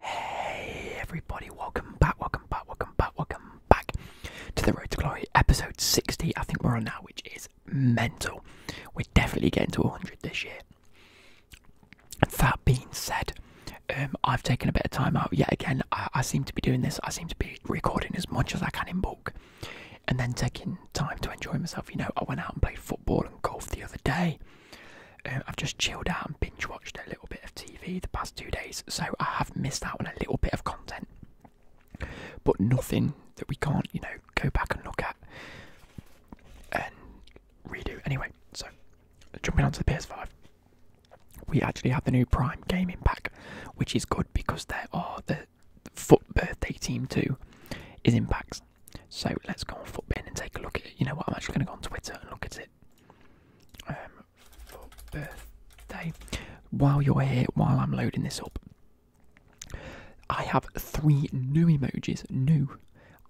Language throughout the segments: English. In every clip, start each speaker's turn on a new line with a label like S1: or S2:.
S1: Hey everybody, welcome back, welcome back, welcome back, welcome back to the Road to Glory episode 60. I think we're on now, which is mental. We're definitely getting to 100 this year. That being said, um, I've taken a bit of time out yet again. I seem to be doing this, I seem to be recording as much as I can in bulk and then taking time to enjoy myself. You know, I went out and played football and golf the other day. Um, I've just chilled out and binge watched a little bit of TV the past two days, so I have missed out on a little bit of content, but nothing that we can't, you know, go back and look at and redo. Anyway, so jumping onto the PS5, we actually have the new Prime Gaming Pack, which is good because there are the Foot Birthday Team 2 is in packs. So let's go on Footbin and take a look at it. You know what? I'm actually going to go on Twitter and look at it um, for birthday. While you're here, while I'm loading this up, I have three new emojis. New.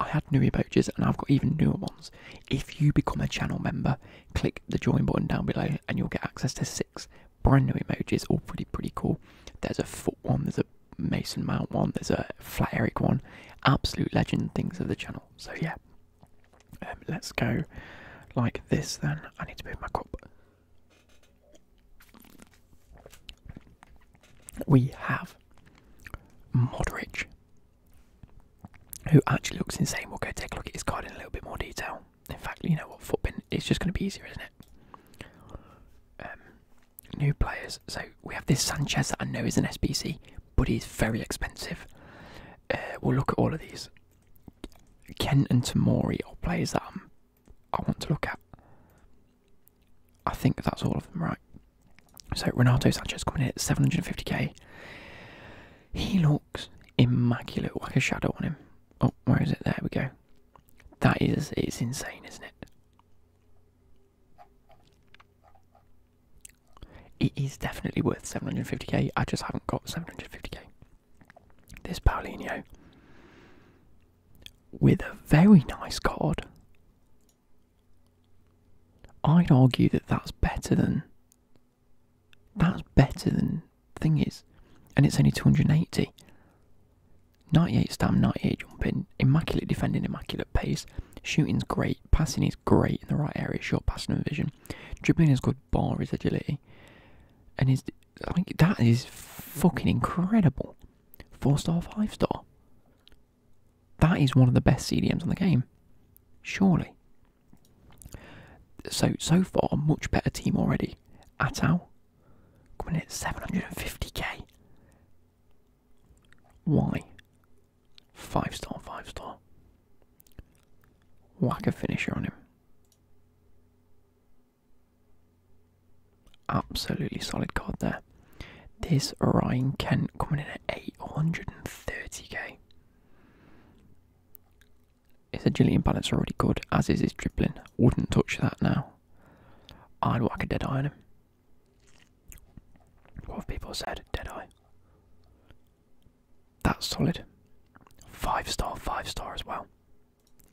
S1: I had new emojis and I've got even newer ones. If you become a channel member, click the join button down below and you'll get access to six brand new emojis, all pretty, pretty cool. There's a foot one, there's a Mason Mount one, there's a Flat Eric one. Absolute legend things of the channel. So yeah, um, let's go like this then. I need to move my cup. We have Modric, who actually looks insane. We'll go take a look at his card in a little bit more detail. In fact, you know what, footbin is just going to be easier, isn't it? Um, new players. So we have this Sanchez I know is an SBC but he's very expensive. Uh, we'll look at all of these. Kent and Tamori are players that i want to look at. I think that's all of them, right? So Renato Sanches coming in at 750k. He looks immaculate, like a shadow on him. Oh, where is it? There we go. That is, it's insane, isn't it? It is definitely worth 750k. I just haven't got 750k. This Paulinho with a very nice card. I'd argue that that's better than that's better than thing is, and it's only 280. 98 stam, 98 jumping, immaculate defending, immaculate pace, shooting's great, passing is great in the right areas. short passing and vision. Dribbling is good, Ball is agility, and is like that is fucking incredible. Four star, five star. That is one of the best CDMs on the game, surely. So so far, much better team already. Atal, coming in at 750k. Why? Five star, five star. Whack a finisher on him. Absolutely solid card there. This Ryan Kent coming in at 830k. His agility and balance are already good, as is his dribbling. Wouldn't touch that now. I'd whack a dead eye on him. What have people said? Deadeye. That's solid. Five star, five star as well.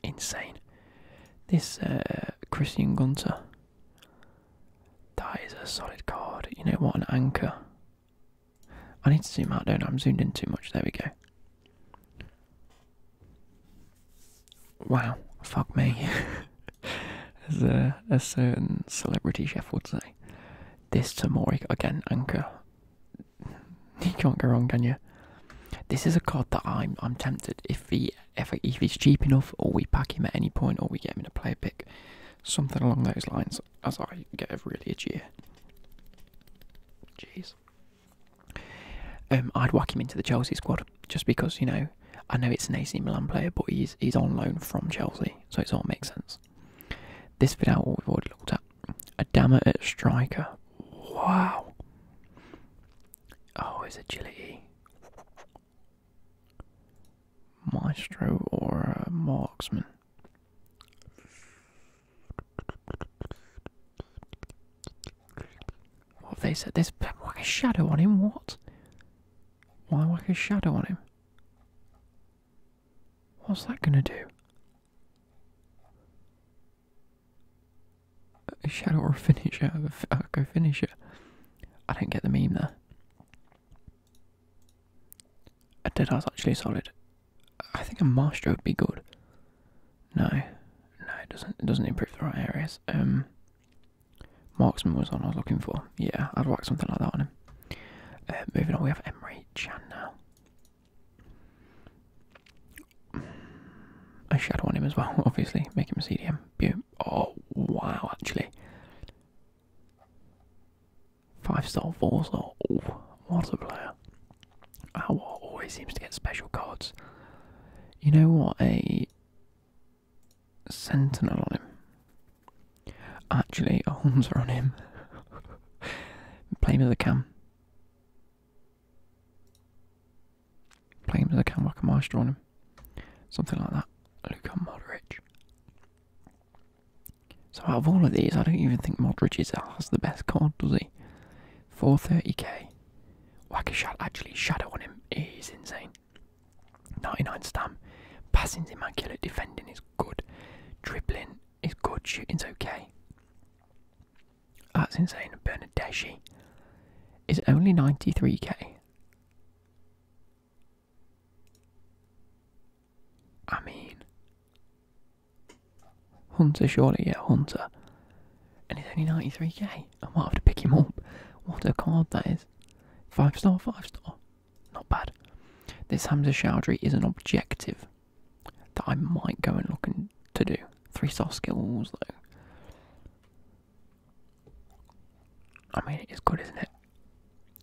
S1: Insane. This uh, Christian Gunter. That is a solid card. You know what? An anchor. I need to zoom out, don't I? I'm zoomed in too much. There we go. Wow. Fuck me. as a, certain celebrity chef would say. This tamori, again, anchor. You can't go wrong, can you? This is a card that I'm I'm tempted if he if, he's cheap enough, or we pack him at any point, or we get him in a player pick, something along those lines. As I get a really a cheer. Jeez. Um, I'd whack him into the Chelsea squad just because you know I know it's an AC Milan player, but he's he's on loan from Chelsea, so it sort of makes sense. This Vidal we've already looked at. Adama at striker. Wow. Oh, his agility. Maestro or marksman. What have they said? This whack a shadow on him. What? Why whack a shadow on him? What's that going to do? A shadow or a finisher? i go finisher. I don't get the meme there. A dead eye's actually solid. I think a master would be good. No, no, it doesn't. It doesn't improve the right areas. Um, Marksman was one I was looking for. Yeah, I'd whack something like that on him. Uh, moving on, we have Emery Chan now. A shadow on him as well, obviously. Make him a CDM. Boom. Oh, wow, actually. Five star, four star. Oh, what a player. Our always seems to get special cards. You know what? A sentinel on him. Actually, Holmes are on him. Play him as a cam. Play him as a cam like a master on him. Something like that. Luka Modric. So out of all of these, I don't even think Modric is, has the best card, does he? 430k. Whack a shot. Actually, shadow on him He's insane. 99 stam. Passing's immaculate. Defending is good. Dribbling is good. Shooting's okay. That's insane. Bernadeschi is only 93k. I mean, Hunter surely, yeah, Hunter. And he's only 93k. I might have to pick him up. What a card that is. Five star, five star. Not bad. This Hamza Chowdhury is an objective that I might go and look in, to do. Three soft skills though. I mean, it is good, isn't it?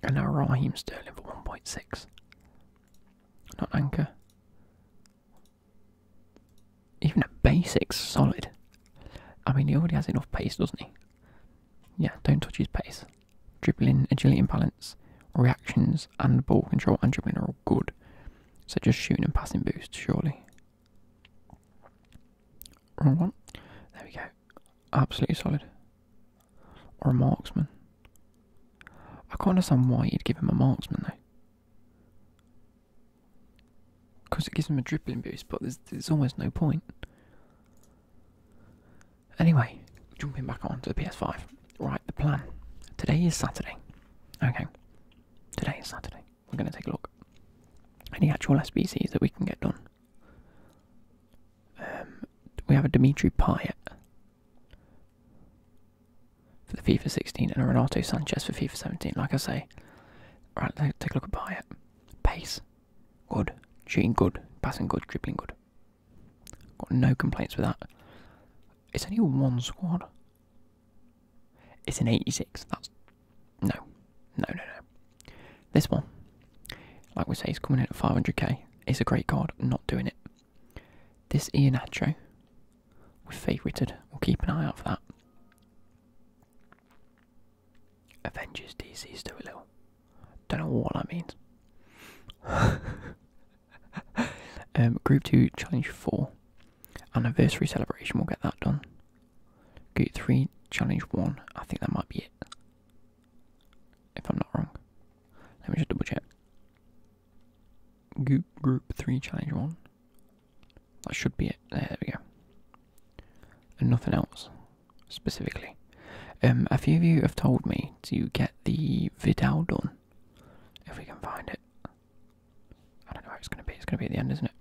S1: And now Raheem Sterling for 1.6. Not anchor. Even a basic solid. I mean, he already has enough pace, doesn't he? Yeah, don't touch his pace. Dribbling, agility balance, reactions and ball control and dribbling are all good. So just shooting and passing boost, surely. Wrong one. There we go. Absolutely solid. Or a marksman. I can't understand why you'd give him a marksman though. Because it gives him a dribbling boost, but there's, there's almost no point. Anyway, jumping back on to the PS5. Right, the plan. Today is Saturday. Okay. Today is Saturday. We're going to take a look. Any actual SBCs that we can get done. Um, we have a Dimitri Payet for the FIFA 16 and a Renato Sanchez for FIFA 17. Like I say, right, take a look at Payet. Pace, Good. Shooting good. Passing good. Dribbling good. Got no complaints with that. It's only one squad. It's an 86. That's. No. No, no, no. This one, like we say, is coming in at 500k. It's a great card. Not doing it. This Ianacho, we're favourited. We'll keep an eye out for that. Avengers DC a Little. Don't know what that means. um, group 2 Challenge 4. Anniversary celebration, we'll get that done. Group 3 Challenge 1. I think that might be it. If I'm not wrong. Let me just double check. Group, group 3 Challenge 1. That should be it. There we go and nothing else specifically. Um, a few of you have told me to get the Vidal done if we can find it. I don't know where it's going to be. It's going to be at the end, isn't it?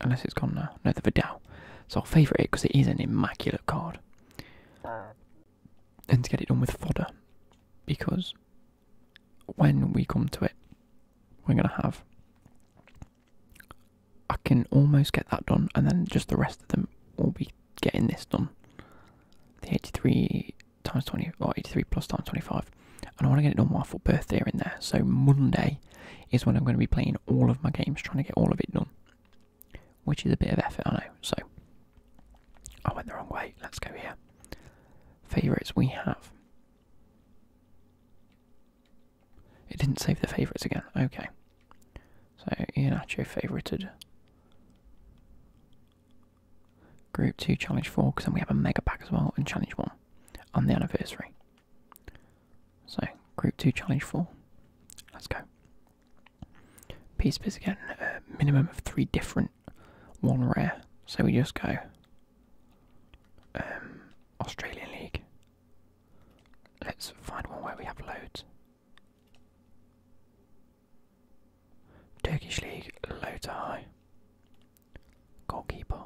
S1: Unless it's gone now. No, the Vidal. So I'll favourite it because it is an immaculate card. Mm. And to get it done with fodder because when we come to it, we're going to have I can almost get that done, and then just the rest of them will be getting this done. The 83 times 20, or 83 plus times 25. And I want to get it done while I've birthday in there. So Monday is when I'm going to be playing all of my games, trying to get all of it done. Which is a bit of effort, I know. So I went the wrong way. Let's go here. Favourites we have. It didn't save the favourites again. Okay. So Ianacho favourited. Group 2, Challenge 4, because then we have a Mega Pack as well, and Challenge 1 on the anniversary. So, Group 2, Challenge 4. Let's go. Piece Biz again, a minimum of three different, one rare. So we just go um, Australian League, Let's find one where we have loads. Turkish League, low to high. Goalkeeper.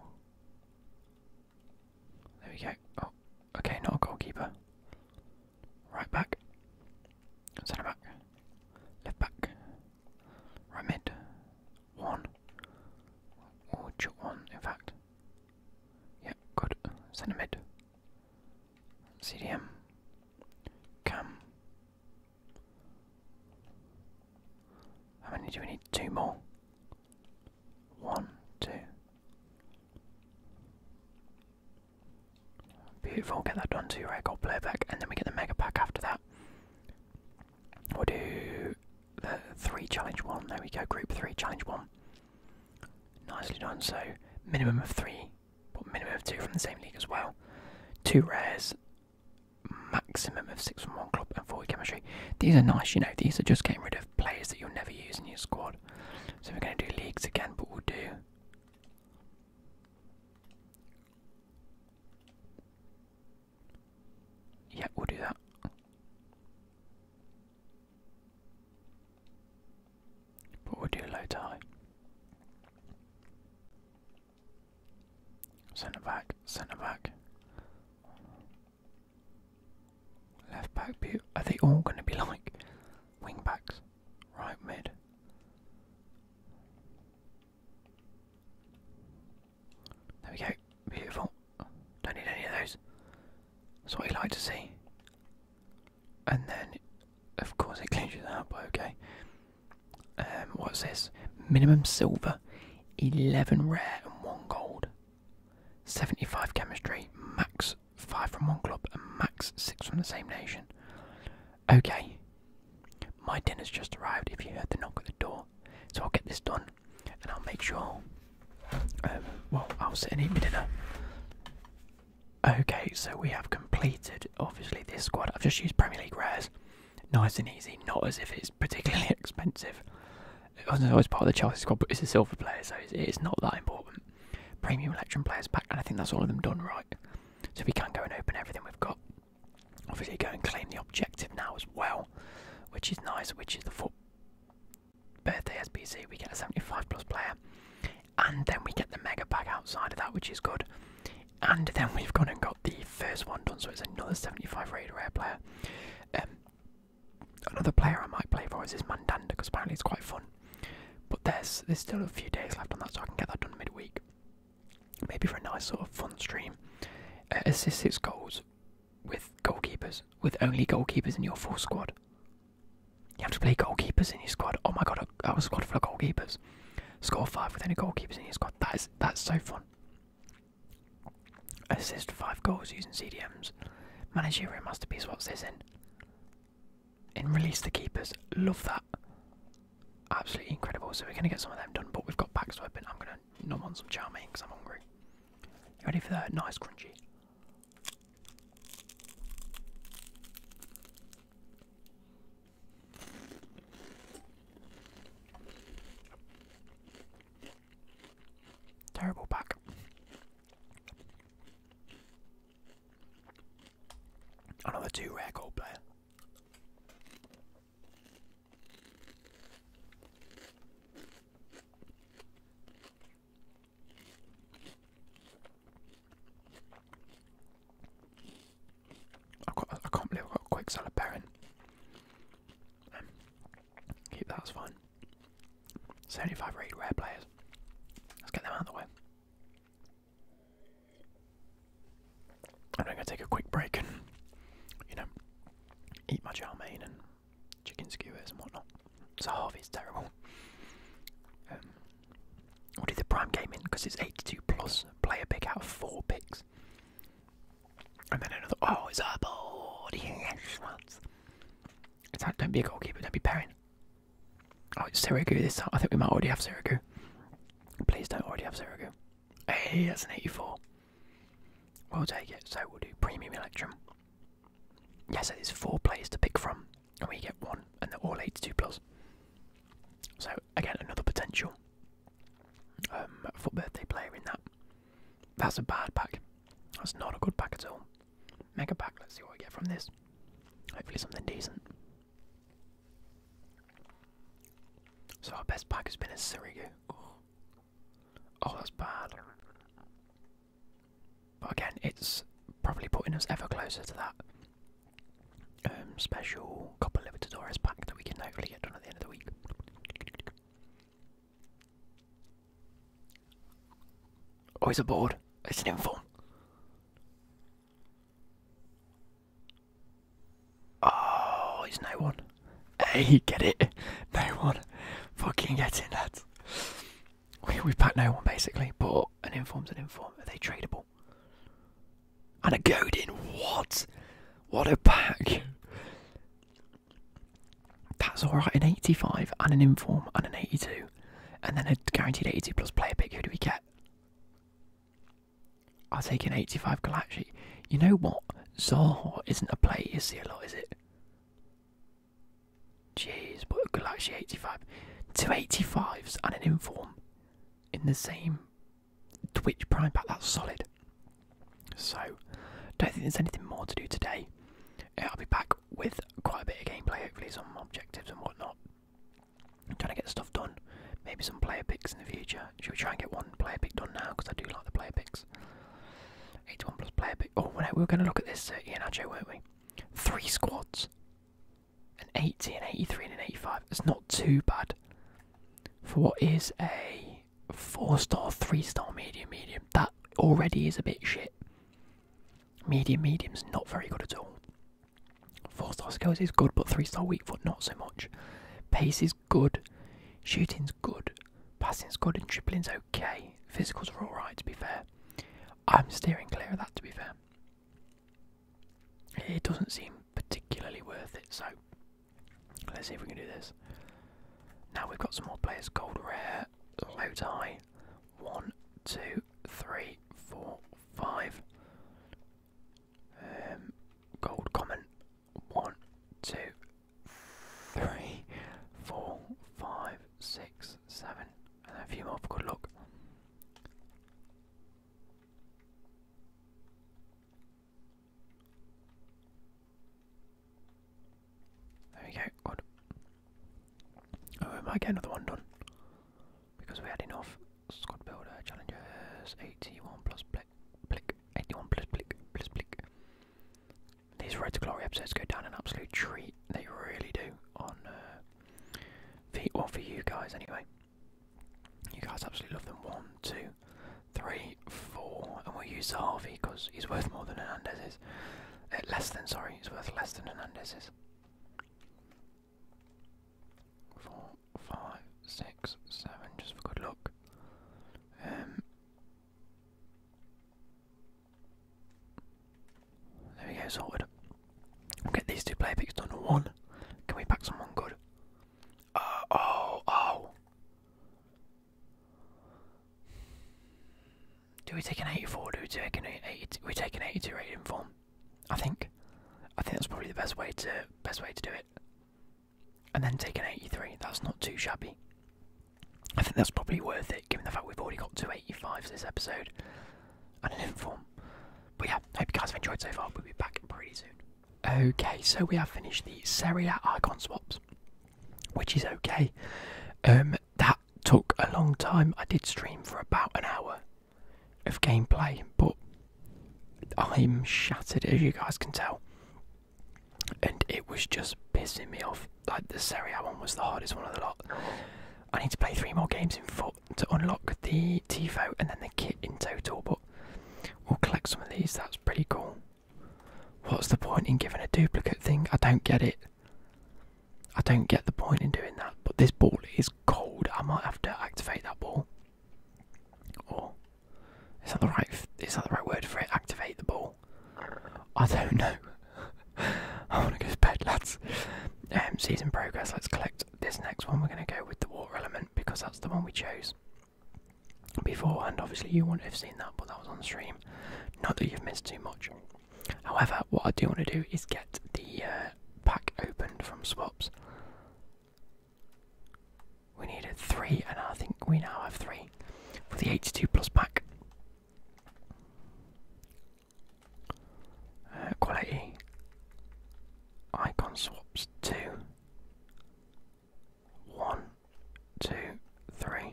S1: There we go. Oh, okay, not a goalkeeper. Right back. Centre back. Left back. Right mid. One. Or one, in fact. Yeah, good. Send CDM. Come. How many do we need? Two more. One, two. Beautiful, get that done too, right? Got playback, and then we get the mega pack after that. We'll do the three challenge one. There we go, group three challenge one. Nicely done. So minimum of three, but minimum of two from the same league as well. Two rares, maximum of six from one club, and four chemistry. These are nice, you know. These are just getting rid of players that you'll never use in your squad. So we're going to do leagues again, but we'll do. Yeah, we'll do that. But we'll do low tie. Centre back, centre back. Left back, are they all going to be like wing backs? Right mid. There we go, beautiful. Don't need any of those. That's what you like to see. And then, of course, it cleans you out, okay. Um, what's this? Minimum silver, 11 rare and 1 gold. 75 chemistry, max 5 from one club, and max 6 from the same nation. Okay, my dinner's just arrived if you heard the knock at the door, so I'll get this done and I'll make sure. Um, well, I'll sit and eat my dinner. Okay, so we have completed obviously this squad. I've just used Premier League rares, nice and easy. Not as if it's particularly expensive. It wasn't always part of the Chelsea squad, but it's a silver player, so it's, not that important. Premium Electrum players back, and I think that's all of them done right. So we can go and open everything we've got. Obviously, go and claim the objective now as well, which is nice. Which is the foot birthday SPC, we get a 75 plus player, and then we get the mega pack outside of that, which is good. And then we've gone and got the first one done, so it's another 75 rated rare player. Um, another player I might play for is this Mandanda, because apparently it's quite fun. But there's there's still a few days left on that, so I can get that done midweek. Maybe for a nice sort of fun stream. Uh, assist six goals with goalkeepers, with only goalkeepers in your full squad. You have to play goalkeepers in your squad. Oh my god, I was squad full of goalkeepers. Score five with any goalkeepers in your squad. That is that's so fun. Assist five goals using CDMs. Managerial masterpiece. What's this in? In release the keepers. Love that. Absolutely incredible. So we're gonna get some of them done, but we've got backs I'm gonna nom on some chow because I'm hungry. ready for that? Nice crunchy. Terrible pack. Another two rare gold player. I've got, I can't believe I've got a quick salad pairing. Um, keep that, that's fine. 75 rated rare players. Let's get them out of the way. I'm going to take a quick break and, you know, eat my chow mein and chicken skewers and whatnot. So Harvey's terrible. Um, we'll do the prime game in because it's 82 plus player pick out of four picks. And then another. Oh, it's a board! It's don't be a goalkeeper, don't be pairing. Oh, it's Sirigu this time. I think we might already have Sirigu. Please don't already have Sirigu. Hey, that's an 84. We'll take it, so we'll do premium electrum yeah, so there's four players to pick from, and we get one, and they're all 82 plus. So again, another potential um, for birthday player in that. That's a bad pack. That's not a good pack at all. Mega pack. Let's see what we get from this. Hopefully something decent. So our best pack has been a Surigu. Oh, that's bad. But again, it's probably putting us ever closer to that um, special Copa Libertadores pack that we can hopefully get done at the end of the week. Oh, he's aboard. It's an inform. Oh, he's no one. Hey, get it. No one. Fucking getting that. We, we've packed no one basically, but an inform's an inform. Are they tradable? And a Godin, what? What a pack. That's alright, an 85 and an inform and an 82. And then a guaranteed 82 plus player pick. Who do we get? I'll take an 85 Galaxy. You know what? Zaha isn't a player. is he, is it? Jeez, but Galaxy 85. two eighty-fives, and an inform in the same Twitch Prime pack. That's solid. So, don't think there's anything more to do today. I'll be back with quite a bit of gameplay, hopefully, some objectives and whatnot. trying to get stuff done. Maybe some player picks in the future. Should we try and get one player pick done now? Because I do like the player picks plus. 81 plus player pick. Oh, we are going to look at this uh, Ianacho, weren't we? Three squads. An 80, an 83, and an 85. It's not too bad for what is a four-star, three-star medium, medium. That already is a bit shit. Medium, medium's not very good at all. Four-star skills is good, but three-star weak foot not so much. Pace is good. Shooting's good. Passing's good, and tripling's okay. Physicals are alright, to be fair. I'm steering clear of that, to be fair. It doesn't seem particularly worth it, so let's see if we can do this. Now we've got some more players gold rare, low tie. One, two, three, four, five. Um, gold common. One, two, three, four, five, six, seven, and a few more for good luck. There we go, good. Oh, we might get another one done. Because we had enough squad builder challenges. 81 plus blick, blick, 81 plus blick, plus blick. These Road to Glory episodes go down an absolute treat. They really do on the uh, for, for you guys anyway. You guys absolutely love them. One, two, three, four, and we'll use the Harvey because he's worth more than Hernandez is. Uh, less than, sorry, he's worth less than Hernandez's. Four, five, six, seven, just for good luck. Um, there we go, sorted. get these two player picks done. One. Can we pack someone good? Uh, oh, oh. Do we take an 84? Do we take an 82? We take an 82 rating form. I think. I think that's probably the best way to best way to do it. And then take an 83. That's not too shabby. I think that's probably worth it, given the fact we've already got 285s this episode and an inform. But yeah, hope you guys have enjoyed so far. We'll be back pretty soon. Okay, so we have finished the serial icon swaps, which is okay. Um, that took a long time. I did stream for about an hour of gameplay, but I'm shattered, as you guys can tell and it was just pissing me off. Like the Serie A one was the hardest one of the lot. I need to play three more games in foot to unlock the Tifo and then the kit in total, but we'll collect some of these, that's pretty cool. What's the point in giving a duplicate thing? I don't get it. I don't get the point in doing that, but this ball is cold. I might have to activate that ball. Or is that the right is that the right word for it? Activate the ball. I don't know. I want to go to bed, lads. Um, season progress. Let's collect this next one. We're going to go with the water element because that's the one we chose beforehand. Obviously, you wouldn't have seen that, but that was on stream. Not that you've missed too much. However, what I do want to do is get the uh, pack opened from swaps. We needed three, and I think we now have three for the 82 plus pack. Uh, quality icon swaps two, one, two, three.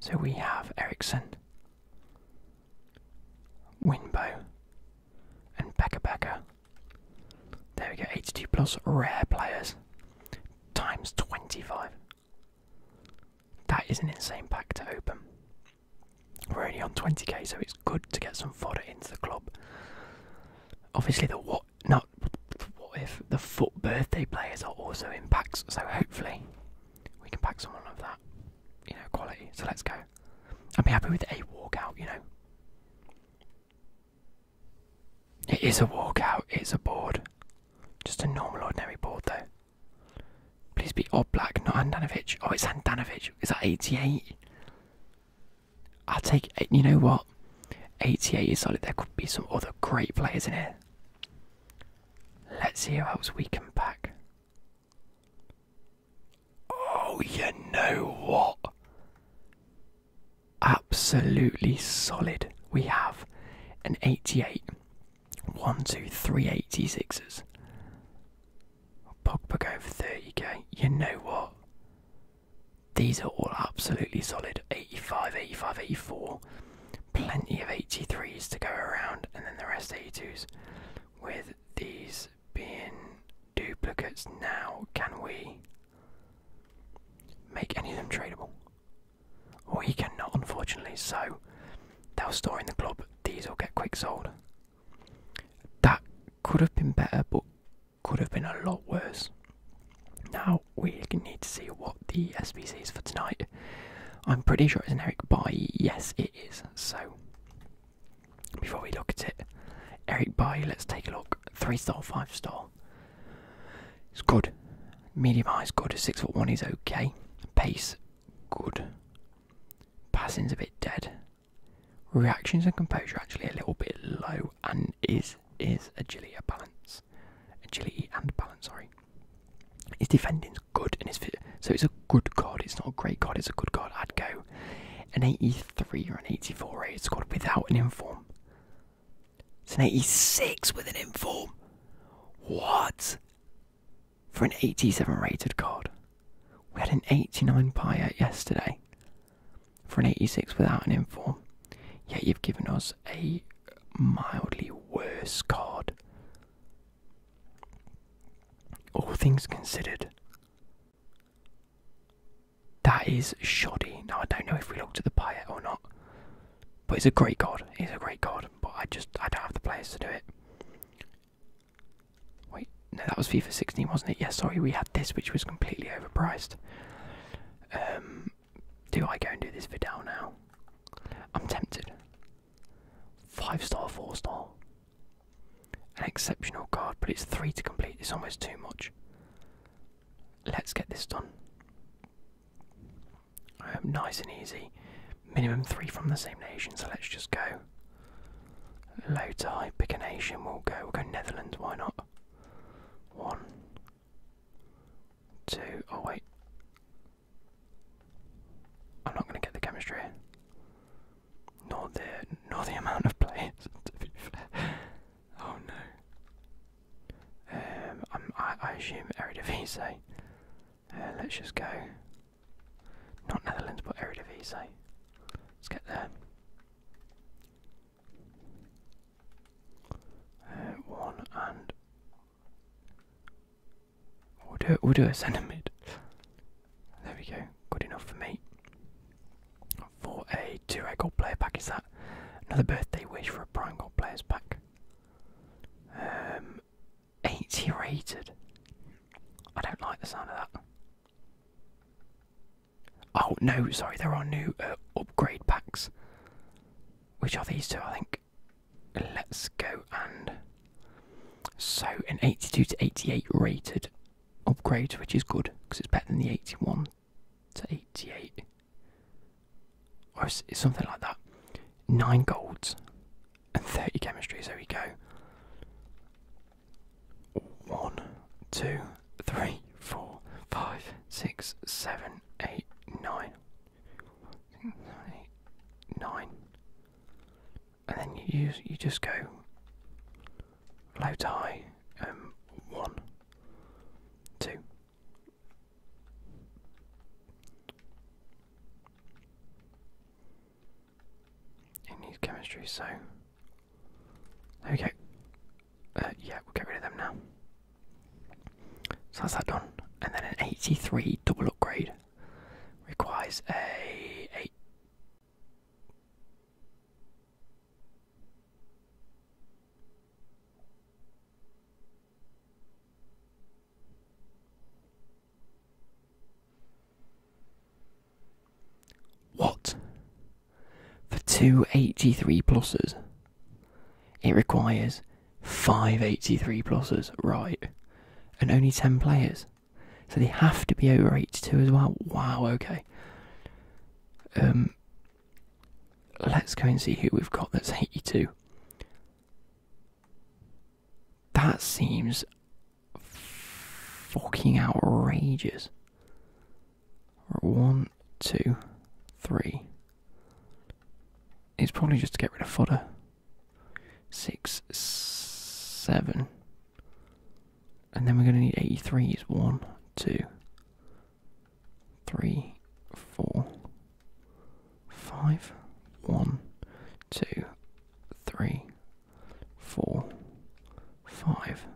S1: So we have Ericsson, Winbow, and Becca Becca. There we go, 82 plus rare players times 25. That is an insane pack to open. We're only on 20k, so it's good to get some fodder into the club. Obviously, the what not what if the foot birthday players are also in packs, so hopefully we can pack someone of that, you know, quality. So let's go. I'd be happy with a walkout, you know. It is a walkout, it's a board. Just a normal, ordinary board, though. Please be all black, not Handanovic. Oh, it's Handanovic. Is that 88? i take You know what? 88 is solid. There could be some other great players in here. Let's see how else we can back. Oh, you know what? Absolutely solid. We have an and 88. 1, 2, 3 86s. Pogba go for 30k. You know what? These are all absolutely solid. 85, 85, 84. Plenty of 83s to go around, and then the rest 82s. With these being duplicates now, can we make any of them tradable? or he cannot, unfortunately. So they'll store in the club. These will get quick sold. That could have been better, but could have been a lot worse. Now we need to see what the SPC is for tonight. I'm pretty sure it's an Eric Bai. Yes, it is. So before we look at it, Eric Bai, let's take a look. Three star, five star. It's good. Medium height, is good. Six foot one is okay. Pace, good. Passing's a bit dead. Reactions and composure actually a little bit low, and is is agility a balance, agility and balance. Sorry. His defending's good, and his fit. So it's a good card. It's not a great card. It's a good card. I'd go an eighty-three or an eighty-four rated good without an inform. It's an 86 with an inform. What? For an 87 rated card. We had an 89 Pyatt yesterday. For an 86 without an inform. Yet you've given us a mildly worse card. All things considered. That is shoddy. Now I don't know if we looked at the Pyatt or not. But he's a great god. He's a great god. But I just I don't have the players to do it. Wait, no, that was FIFA 16, wasn't it? Yes, sorry, we had this, which was completely overpriced. Um, do I go and do this Vidal now? I'm tempted. Five star, four star. An exceptional card, but it's three to complete. It's almost too much. Let's get this done. Um, nice and easy. Minimum three from the same nation, so let's just go. Low tie, pick an Asian. we'll go, we'll go Netherlands, why not? One. two. Oh wait. I'm not going to get the chemistry. Nor the, nor the amount of players, Oh no. Um, I'm, I, I assume Eredivisie. Uh, let's just go. Not Netherlands, but Eredivisie. Let's get there. Uh, one and we'll do we'll do a centre There we go. Good enough for me. Four a 2 A gold player pack, is that another birthday wish for a prime gold players pack? Um, 80 rated. I don't like the sound of that. Oh no, sorry, there are new uh, upgrade packs. Which are these two, I think? Let's go and. So, an 82 to 88 rated upgrade, which is good because it's better than the 81 to 88 or something like that. Nine golds and 30 chemistries. There we go. One, two, three, four, five, six, seven, eight, nine. Nine. And then you you just go low to high. Um, one, two, it needs chemistry, so there we go. Uh, yeah, we'll get rid of them now. So that's that done. And then an 83 double upgrade requires a eight. What? For two eighty-three 83 pluses, it requires five eighty-three 83 pluses, right? And only 10 players. So they have to be over 82 as well. Wow, okay. Um, Let's go and see who we've got that's 82. That seems fucking outrageous. One, two, three. It's probably just to get rid of fodder. Six, seven. And then we're going to need eighty-three. Is One, two, three, four, five, one, two, three, four, five.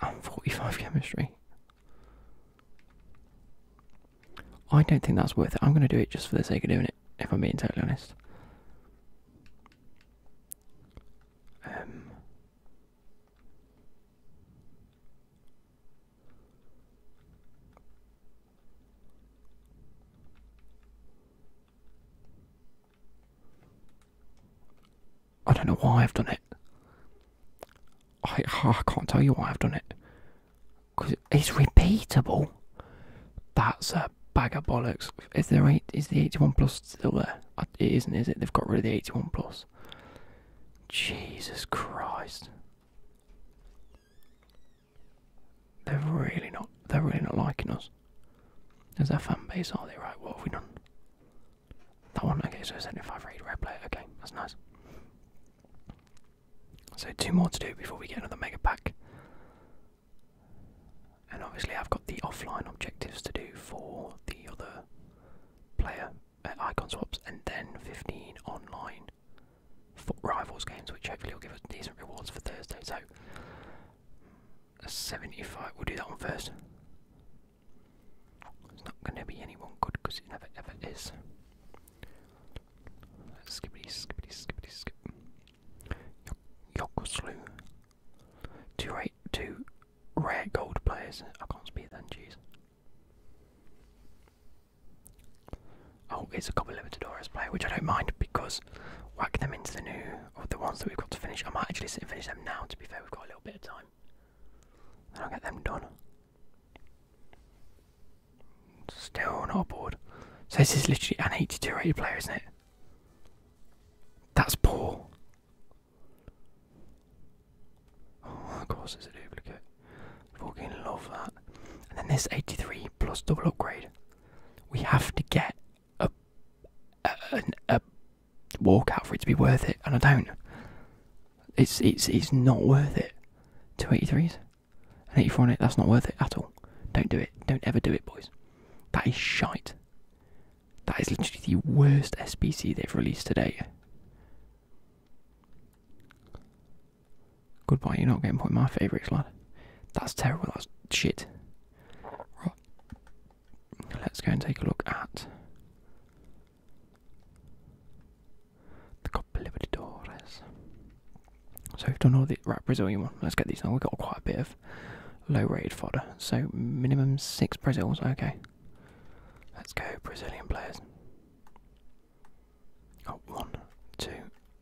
S1: I'm 45 chemistry. I don't think that's worth it. I'm going to do it just for the sake of doing it, if I'm being totally honest. Um, I don't know why I've done it. I, can't tell you why I've done it. Because it's repeatable. That's a bag of bollocks. Is there eight? Is the eighty-one plus still there? It isn't, is it? They've got rid of the eighty-one plus. Jesus Christ. They're really not they're really not liking us. Is that fan base, are they right? What have we done? That one, okay, so 75 rated red player, okay, that's nice. So two more to do before we get another mega pack. And obviously I've got the offline objectives to do for the other player icon swaps, and then 15 online rivals games, which hopefully will give us decent rewards for Thursday. So, 75, we'll do that one first. It's not going to be anyone good because it never ever is. Skippity, skippity, skippity, skip. Yokosloo Two rare, gold players. I can't speak then, jeez. Oh, it's a couple Libertadores player, which I don't mind because whack them into the new or the ones that we've got to finish. I might actually sit and finish them now. To be fair, we've got a little bit of time. I'll get them done. Still not bored. So this is literally an 82 rated player, isn't it? That's poor. Oh, of course, it's a duplicate. Fucking love that. And then this 83 plus double upgrade. We have to get a, a, a, walkout for it to be worth it, and I don't. It's it's it's not worth it. Two 83s, an 84 on it. That's not worth it at all. Don't do it. Don't ever do it, boys. That is shite. That is literally the worst SBC they've released today. date. Goodbye, you're not getting point my favourites, lad. That's terrible, that's shit. Right. Let's go and take a look at the Copa Libertadores. So we've done all the right Brazilian one. Let's get these now. We've got quite a bit of low rated fodder. So minimum six Brazils, okay. Let's go, Brazilian players. Oh, one, two,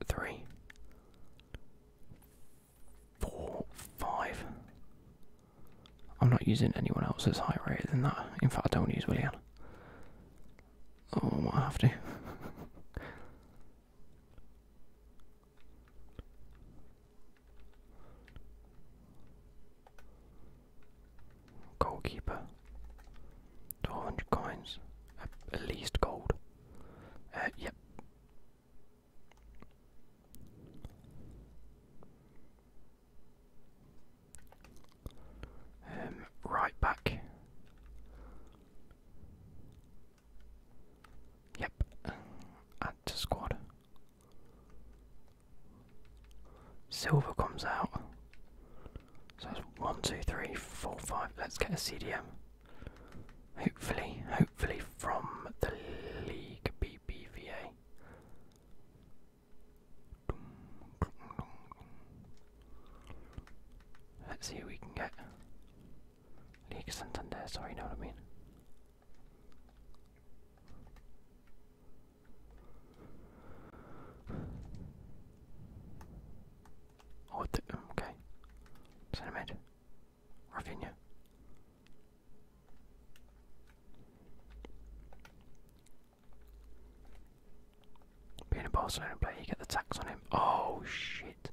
S1: three, four, five. I'm not using anyone else that's higher rated than that. In fact, I don't use William. Oh, I might have to. Goalkeeper. two hundred coins. At, least gold. Uh, yep. Um, right back. Yep. Add to squad. Silver comes out. So it's one, two, three, four, five. Let's get a CDM. Hopefully, hopefully from the league BBVA. Let's see who we can get. League Santander, sorry, you know what I mean. Oh, okay. Cinemate. Rafinha. Being a Barcelona player, you get the tax on him. Oh, shit.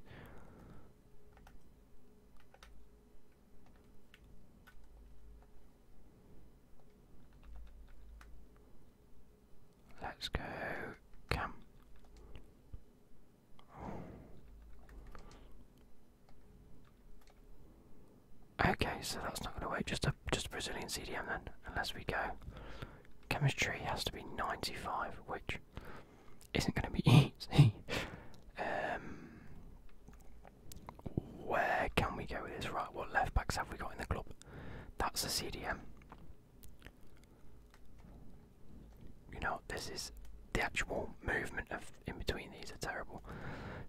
S1: Let's go cam. Okay, so that's not going to work. Just a just Brazilian CDM then, unless we go. Chemistry has to be 95, which isn't going to be easy. Um, where can we go with this? Right, what left backs have we got in the club? That's the CDM. You know, this is the actual movement of in between these are terrible.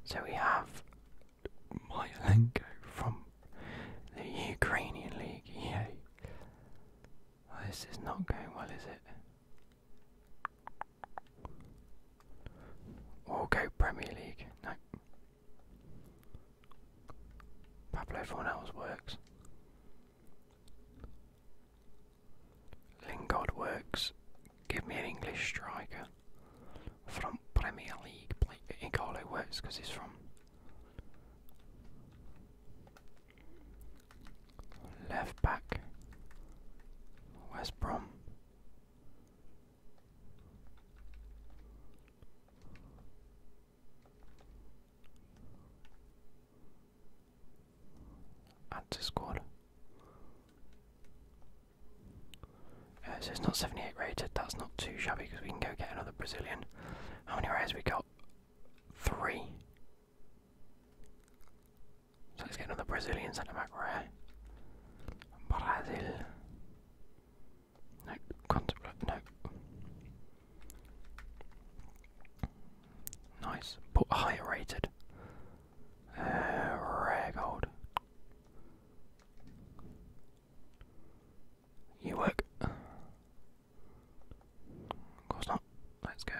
S1: So we have Myelenko from the Ukrainian League. Yay! this is not going well, is it? Okay, Premier League. No. Pablo Fornells works. Lingard works. Give me an English striker from Premier League. Igalo works because he's from left back. West Brom. Add to squad. Uh, so it's not 78 rated, that's not too shabby because we can go get another Brazilian. How many rares we got? Three. So let's get another Brazilian centre back rare. Brazil. No, contemplate, no. Nice, but higher rated. Uh, rare gold. You work. Of course not. Let's go.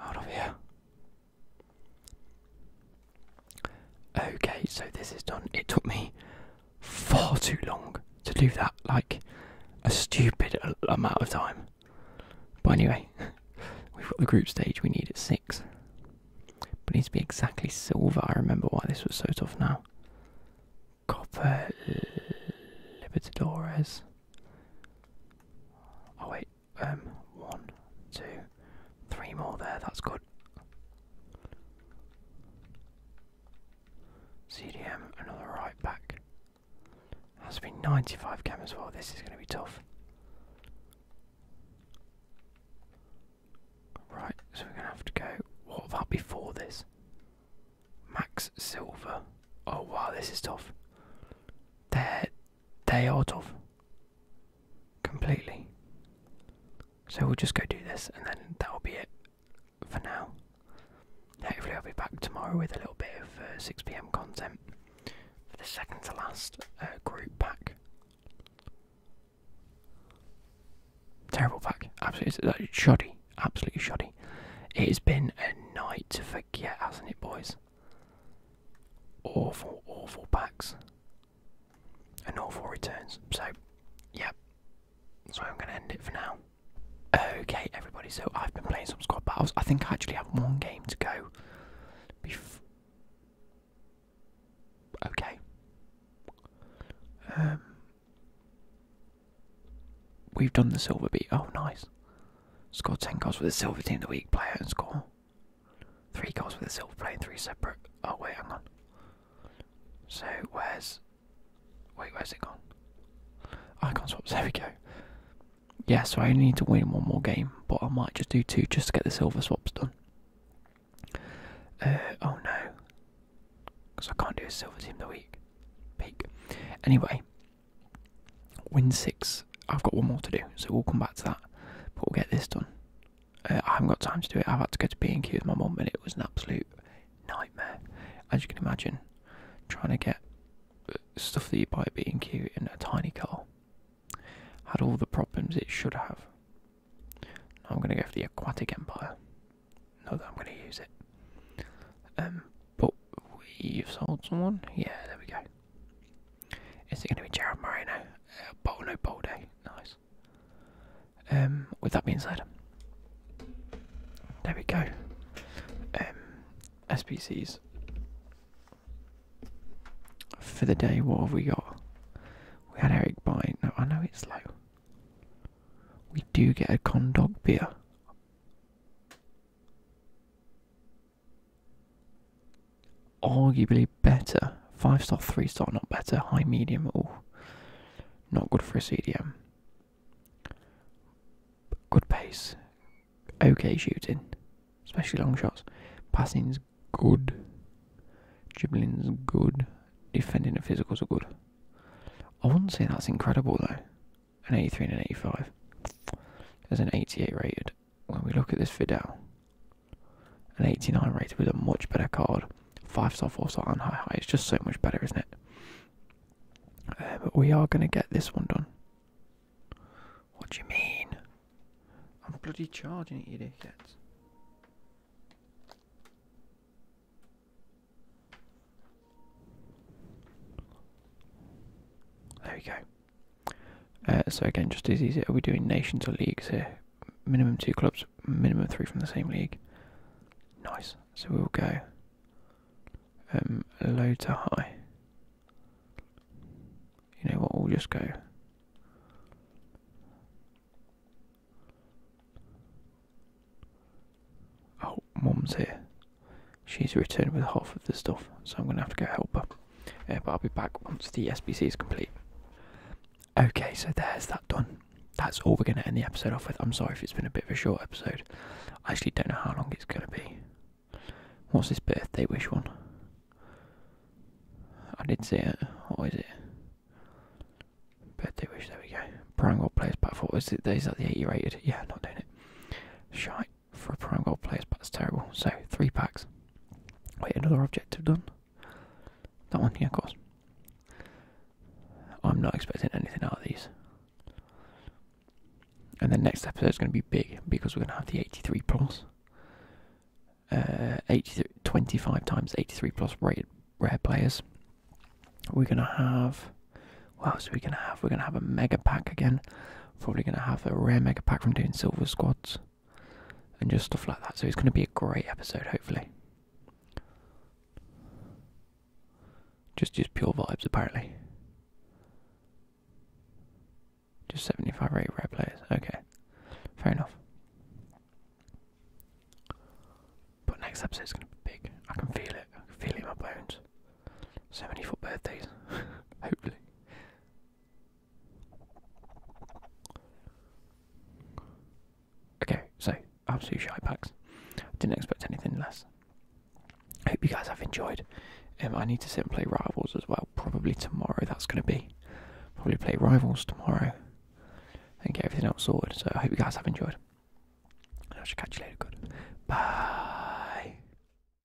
S1: Out of here. Okay, so this is done. It took me far too long to do that, like a stupid amount of time. But anyway, we've got the group stage we need at six. But needs to be exactly silver. I remember why this was so tough now. Copper Libertadores. Oh wait, um, one, two, three more there, that's good. CDM, another right back. that Has been 95 cameras. well, this is going to be tough. Right, so we're going to have to go. What about before this? Max Silver. Oh wow, this is tough. they they are tough completely. So we'll just go do this and then that'll be it for now. Hopefully, I'll be back tomorrow with a little bit of uh, 6 pm content for the second to last uh, group pack. Terrible pack, absolutely shoddy, absolutely shoddy. It has been a night to forget, hasn't it, boys? Awful, awful packs. And awful returns. So, yeah, That's why I'm going to end it for now. Okay, everybody, so I've been playing some squad battles. I think I actually have one game to go. okay. Um, we've done the silver beat. Oh, nice. Scored 10 goals with the silver team the week player and score Three goals with a silver play, three separate. Oh wait, hang on. So where's? Wait, where's it gone? I Icon swap. There we go. Yeah, so I only need to win one more game, but I might just do two just to get the silver swaps done. Uh, oh no, because I can't do a silver team the week. Peak. Anyway, Win six. I've got one more to do, so we'll come back to that. But we'll get this done. Uh, I haven't got time to do it. I've had to go to B and Q with my mum, and it was an absolute nightmare, as you can imagine. Trying to get uh, stuff that you buy at B and Q in a tiny car had all the problems it should have. I'm going to go for the Aquatic Empire. Not that I'm going to use it. Um, but we've sold someone. Yeah, there we go. Is it going to be Jared Moreno? Uh, Bolo Bolde, nice. Um, with that being said, there we go. Um, SPCs for the day. What have we got? We had Eric Bite. No, I know it's low. We do get a Condog beer. Arguably better. Five star, three star, not better. High, medium, oh, not good for a CDM. good pace, okay shooting, especially long shots. Passing's good, dribbling's good, defending and physicals are good. I wouldn't say that's incredible though. An 83 and an 85. There's an 88 rated when we look at this video, an 89 rated with a much better card. 5 star, 4 star, and high high. It's just so much better, isn't it? Uh, but we are going to get this one done. What do you mean? I'm bloody charging it, you dickheads. There we go. Uh, so again, just as easy. Are we doing nations or leagues here? Minimum two clubs, minimum three from the same league. Nice. So we'll go um, low to high. You know what? We'll just go. Oh, mum's here. She's returned with half of the stuff, so I'm going to have to go help her. Uh, but I'll be back once the SBC is complete. Okay, so there's that done. That's all we're going to end the episode off with. I'm sorry if it's been a bit of a short episode. I actually don't know how long it's going to be. What's this birthday wish one? I did see it. What is it? Birthday wish, there we go. Prime World Players Platform. Is, it, is that the eight 80 rated? Yeah, not doing it. Shite for a prime gold players, but it's terrible. So three packs. Wait, another objective done. That one, here, of course. I'm not expecting anything out of these. And the next episode is going to be big because we're going to have the 83 plus. Uh, 25 times 83 plus rare players. We're going to have. so we are going to have? We're going to have a mega pack again. Probably going to have a rare mega pack from doing silver squads and just stuff like that. So it's going to be a great episode, hopefully. Just just pure vibes, apparently. Just 75 rare players. Okay, fair enough. But next episode is going to be big. I can feel it. I can feel it in my bones. So many for birthdays. Hopefully. Okay, so absolute shy packs. Didn't expect anything less. hope you guys have enjoyed. Um, I need to sit and play Rivals as well. Probably tomorrow. That's going to be probably play Rivals tomorrow and get everything else sorted. So I hope you guys have enjoyed. I shall catch you later. Good. Bye.